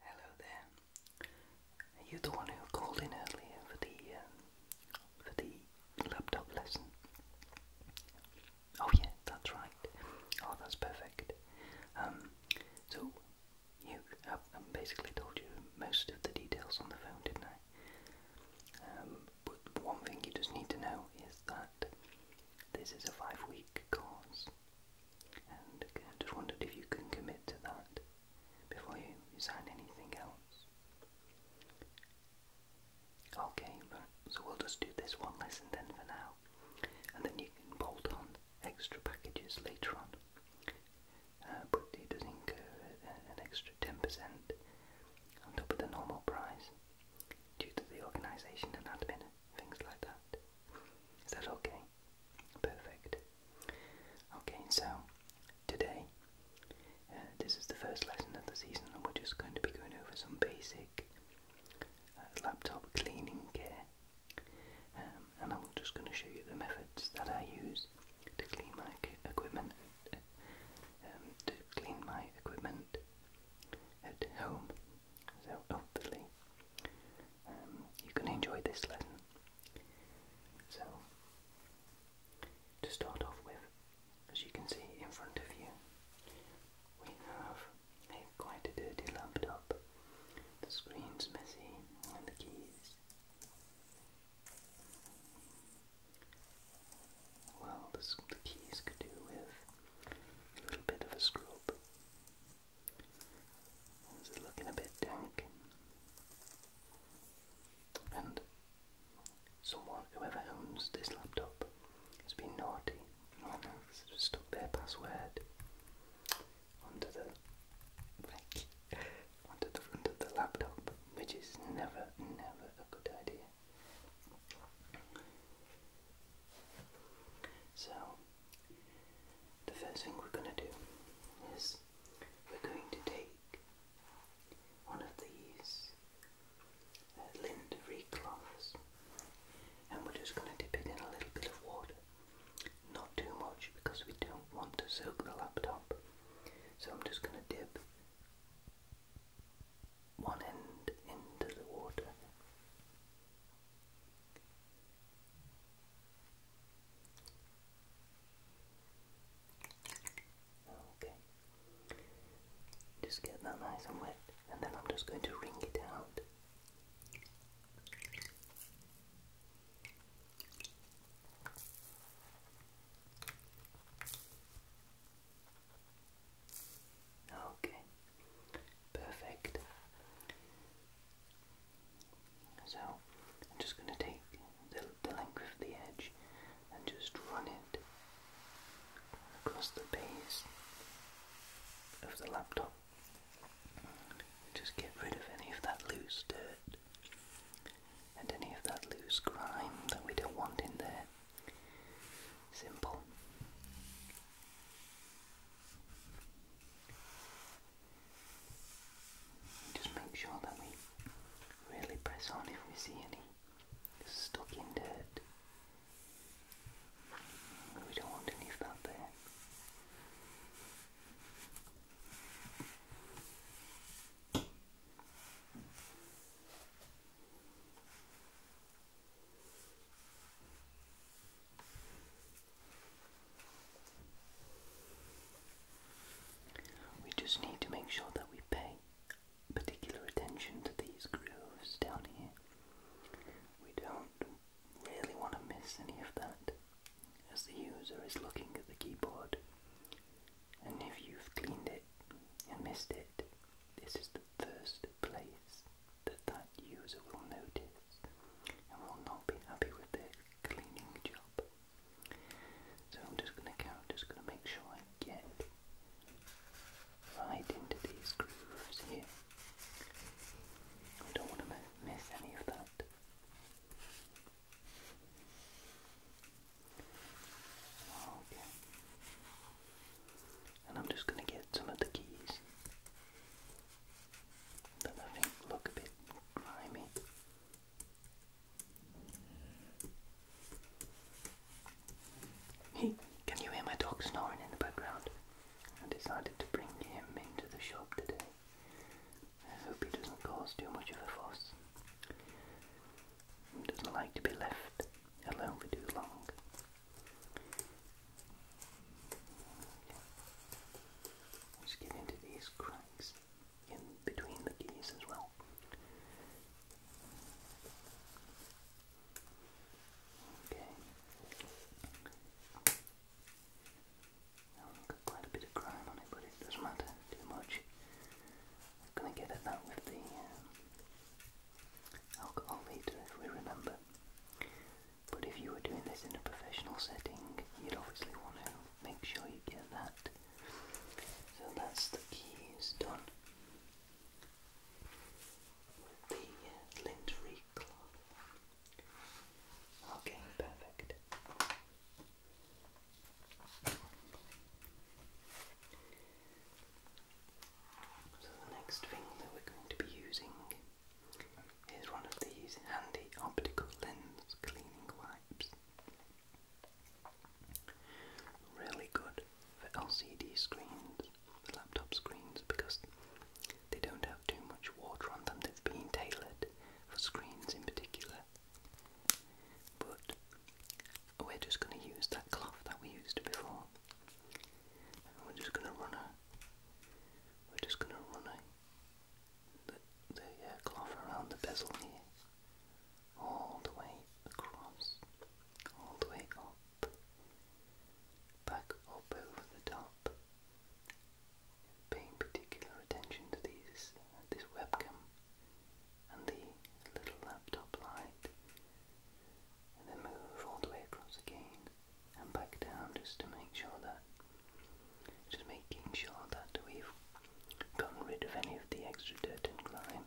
Hello there. Are you the one who called in earlier for the um, for the laptop lesson? Oh yeah, that's right. Oh, that's perfect. Um, so you, I, basically told you most of the details on the phone, didn't I? Um, but one thing you just need to know is that this is a five week course. And just wondered if you can commit to that before you sign anything else. Okay, so we'll just do this one lesson then for now. And then you can bolt on extra packages later on. Uh, but it does incur uh, an extra 10% on top of the normal price due to the organisation and admin, things like that. Is that okay? Perfect. Okay, so today, uh, this is the first lesson of the season, and we're just going to be going over some basic uh, laptop cleaning care. Um, and I'm just going to show you the methods that I use to clean my equipment, um, to clean my equipment at home. So hopefully um, you can enjoy this lesson. So to start off with, as you can see in front of you, we have a quite a dirty laptop. The screen's messy and the keys. Well, the keys could do with a little bit of a scrub. This looking a bit dank. And someone, whoever owns this laptop, has been naughty stuck their password onto the onto the front the laptop, which is never, never a good idea. So, the first thing we're going to do is we're going to take one of these uh, cloths and we're just going to dip it in a little bit of water. Not too much because we don't want to soak the laptop. So I'm just going to dip one end into the water. Okay. Just get that nice and wet, and then I'm just going to wring it out. Okay, perfect. So I'm just going to take the, the length of the edge and just run it across the base of the laptop. Just get rid of any of that loose dirt and any of that loose grime that we don't want in there. Simple. Just make sure that we really press on if we see any stuck in dirt. We don't want any of there. We just need to make sure that we pay particular attention to these grooves down here. We don't really want to miss any of that as the user is looking at the keyboard. And if you've cleaned it and missed it, this is the first place that that user will notice and will not be happy with their cleaning job. So I'm just going to count, just going to make sure I get right into these grooves here. I don't want to miss any of that. Okay and I'm just going to get some of the keys that I think look a bit grimy. Hey, can you hear my dog snoring in the background? I decided to bring him into the shop today. I hope he doesn't cause too much of a fuss. Doesn't like to be left alone for too long. Okay. Just get into these cracks in between the keys as well. Okay. got quite a bit of grime on it, but it doesn't matter too much. I'm gonna get at that with the um, alcohol later if we remember. But if you were doing this in a professional setting, you'd obviously want to make sure you get that. So that's the keys done. With the uh, lint Okay, perfect. So the next thing that we're going to be using is one of these handy optical lens cleaning wipes. Really good for LCD screens, laptop screens, because they don't have too much water on them. They've been tailored for screens in particular. But we're just going to use that cloth that we used before. we're just going to run a, we're just going to run a, the, the uh, cloth around the bezel here, all the way across, all the way up, back up over the top. Paying particular attention to these, this webcam and the little laptop light and then move all the way across again and back down just to make sure that just making sure that we've gotten rid of any of the extra dirt and grime.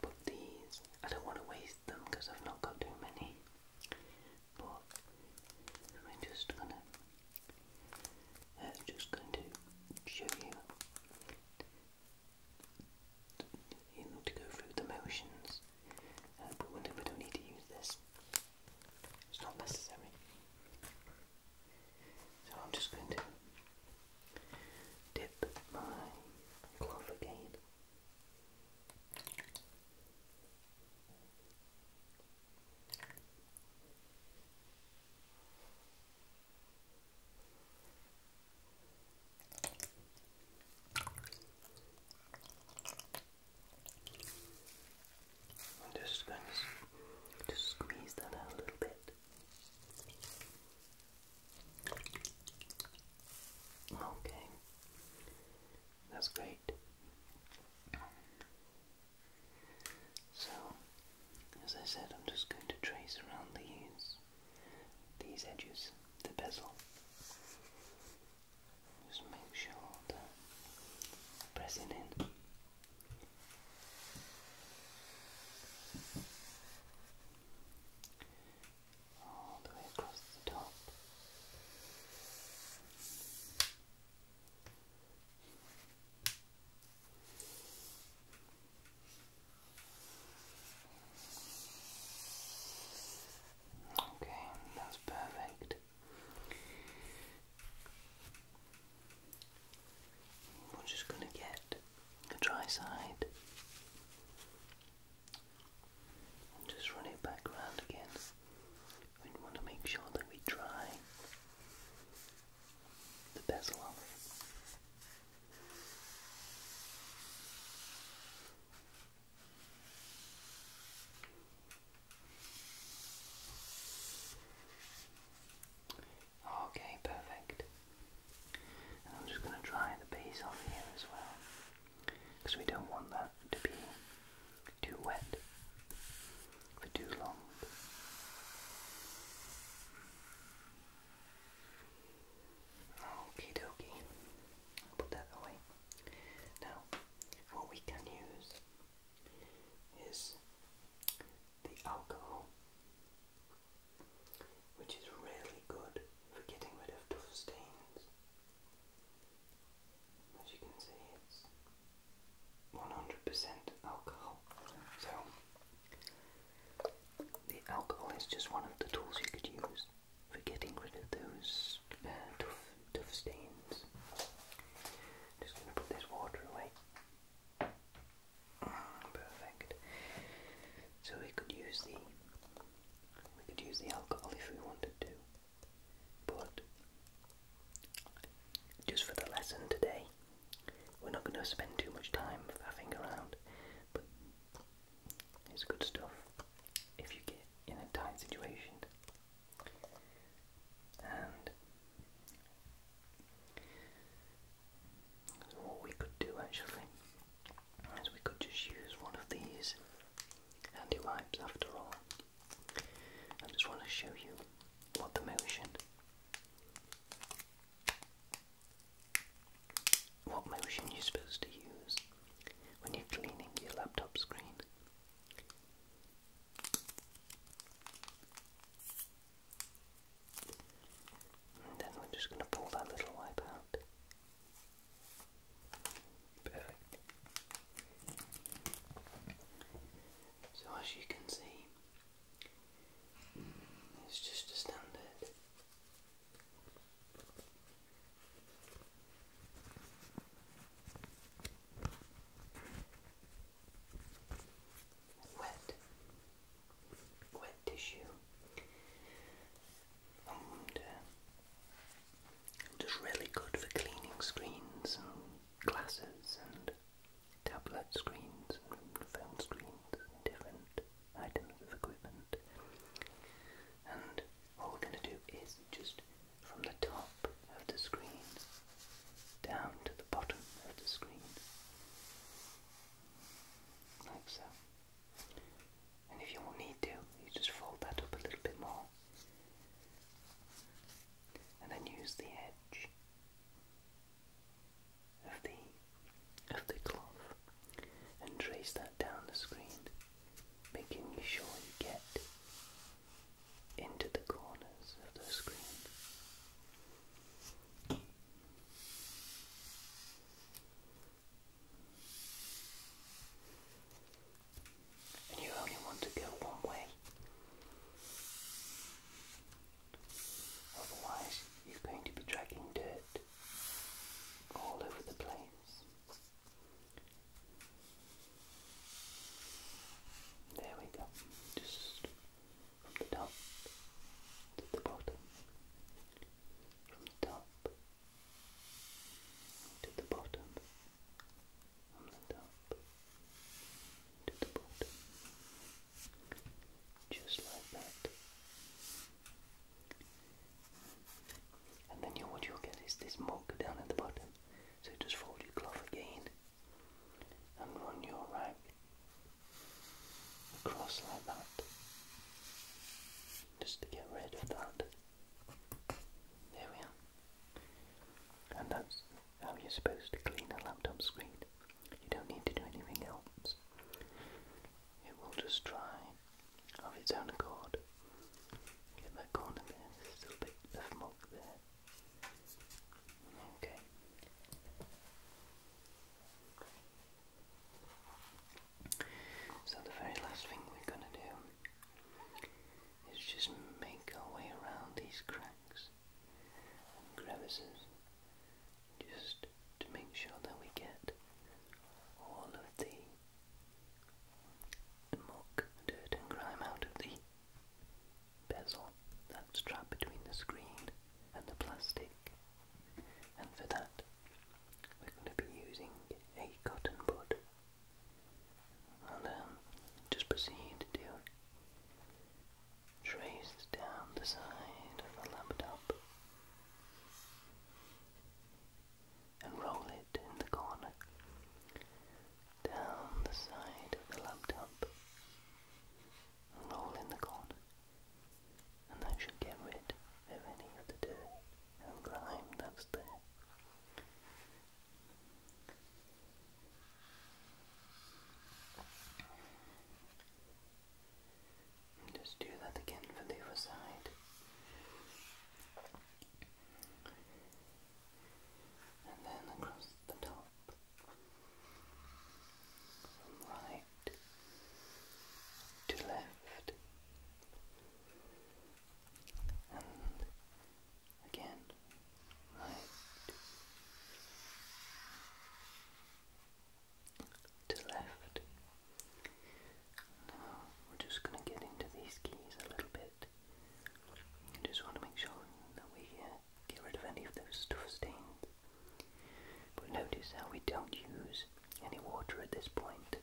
But these, I don't want to waste them because I've not got too many. But I'm just gonna, just going to show you you know, to go through the motions. Uh, but we don't need to use this. It's not necessary. So I'm just going to dip my cloth again just going to squeeze that out a little bit. Okay, that's great. So, as I said, I'm just going to trace around the ears these edges, the bezel. Just make sure pressing in. All the way across the top. Okay, that's perfect. We're just going to get the dry side just run it back around again. We want to make sure that we dry the bezel off. Okay, perfect. I'm just going to dry the base off here as well, because we don't want that to be too wet for too long. Okie dokie. Put that away. Now, what we can use is the alcohol, which is really good for getting rid of tough stains. As you can see, it's 100% alcohol. So, the alcohol is just one of the tools you could use for getting rid of those uh, tough, tough stains. just going to put this water away. Mm, perfect. So we could use the we could use the alcohol if we wanted to, but just for the lesson today, we're not going to spend too much time faffing around. It's good stuff if you get in a tight situation. And what we could do actually is we could just use one of these handy wipes after all. I just want to show you what the motion what motion you're supposed to use when you're cleaning your laptop screen. And then we're just going to pull that little wipe out. Perfect. So as you can see, it's just a standard Wet, wet tissue, just uh, really good for cleaning screens and glasses and tablet screens and phone screens different items of equipment. And what we're going to do is just from the top of the screen down to the bottom of the screen, like so. And if you need to, you just fold that up a little bit more and then use the edge of the of the cloth and trace that down the screen, making sure you get into the corners of the screen. And you only want to go one way. Otherwise, you're going to be dragging dirt all over the place. There we go. Just from the top to the bottom. From the top to the bottom. From the top to the bottom. Just like that. And then you, what you'll get is this mug down at the bottom. So just fold your cloth again and run your rag across like that. Just to get rid of that. There we are. And that's how you're supposed to clean a laptop screen. You don't need to do anything else it will just try of its own accord. Get that corner there's still a bit of milk there. Okay. So the very last thing we're going to do is just make our way around these cracks and crevices just to make sure that we get all of the the muck, dirt and grime out of the bezel that's trapped between the screen and the plastic. And for that, we're going to be using a cotton bud. And um, just proceed to trace down the side of the laptop and roll it in the corner down the side of the laptop and roll in the corner and that should get rid of any of the dirt and grime that's there. just do that again for the other side and then across the top from right to left, and again right to left. Now we're just going to get into these keys a little bit. I just want to make sure that we uh, get rid of any of those stuff stains. But notice how we don't use any water at this point.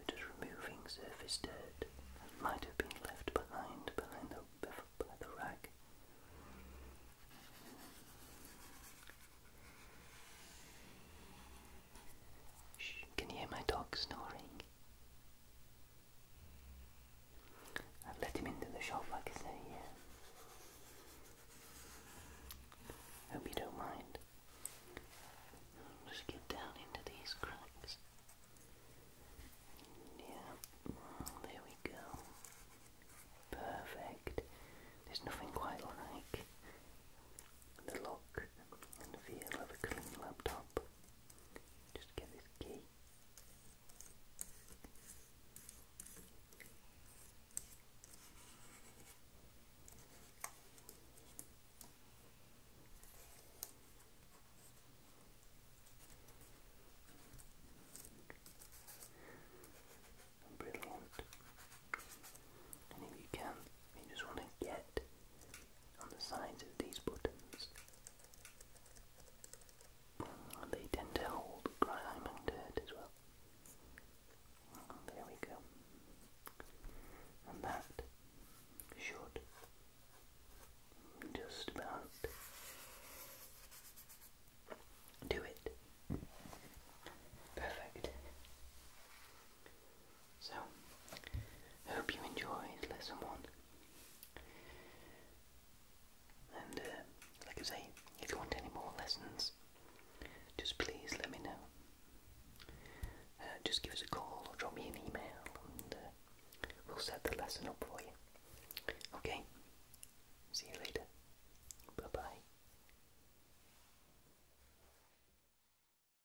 We're just removing surface dirt that might have been left behind behind the, by the rag can you hear my dog snoring? I've let him into the shop, like I say, Hope you don't mind. just get down into these cracks. Yeah, there we go. Perfect. There's nothing quite like the lock and feel of a clean laptop. Just get this key. Brilliant. And if you can, you just want to get on the sides of these buttons. And they tend to hold grime and dirt as well. there we go. And that should just about do it. Perfect. So, hope you enjoyed lesson one. And, uh, like I say, if you want any more lessons, just please let me know. Uh, just give us a call or drop me an email and uh, we'll set the lesson up for you. Okay? See you later. Bye bye.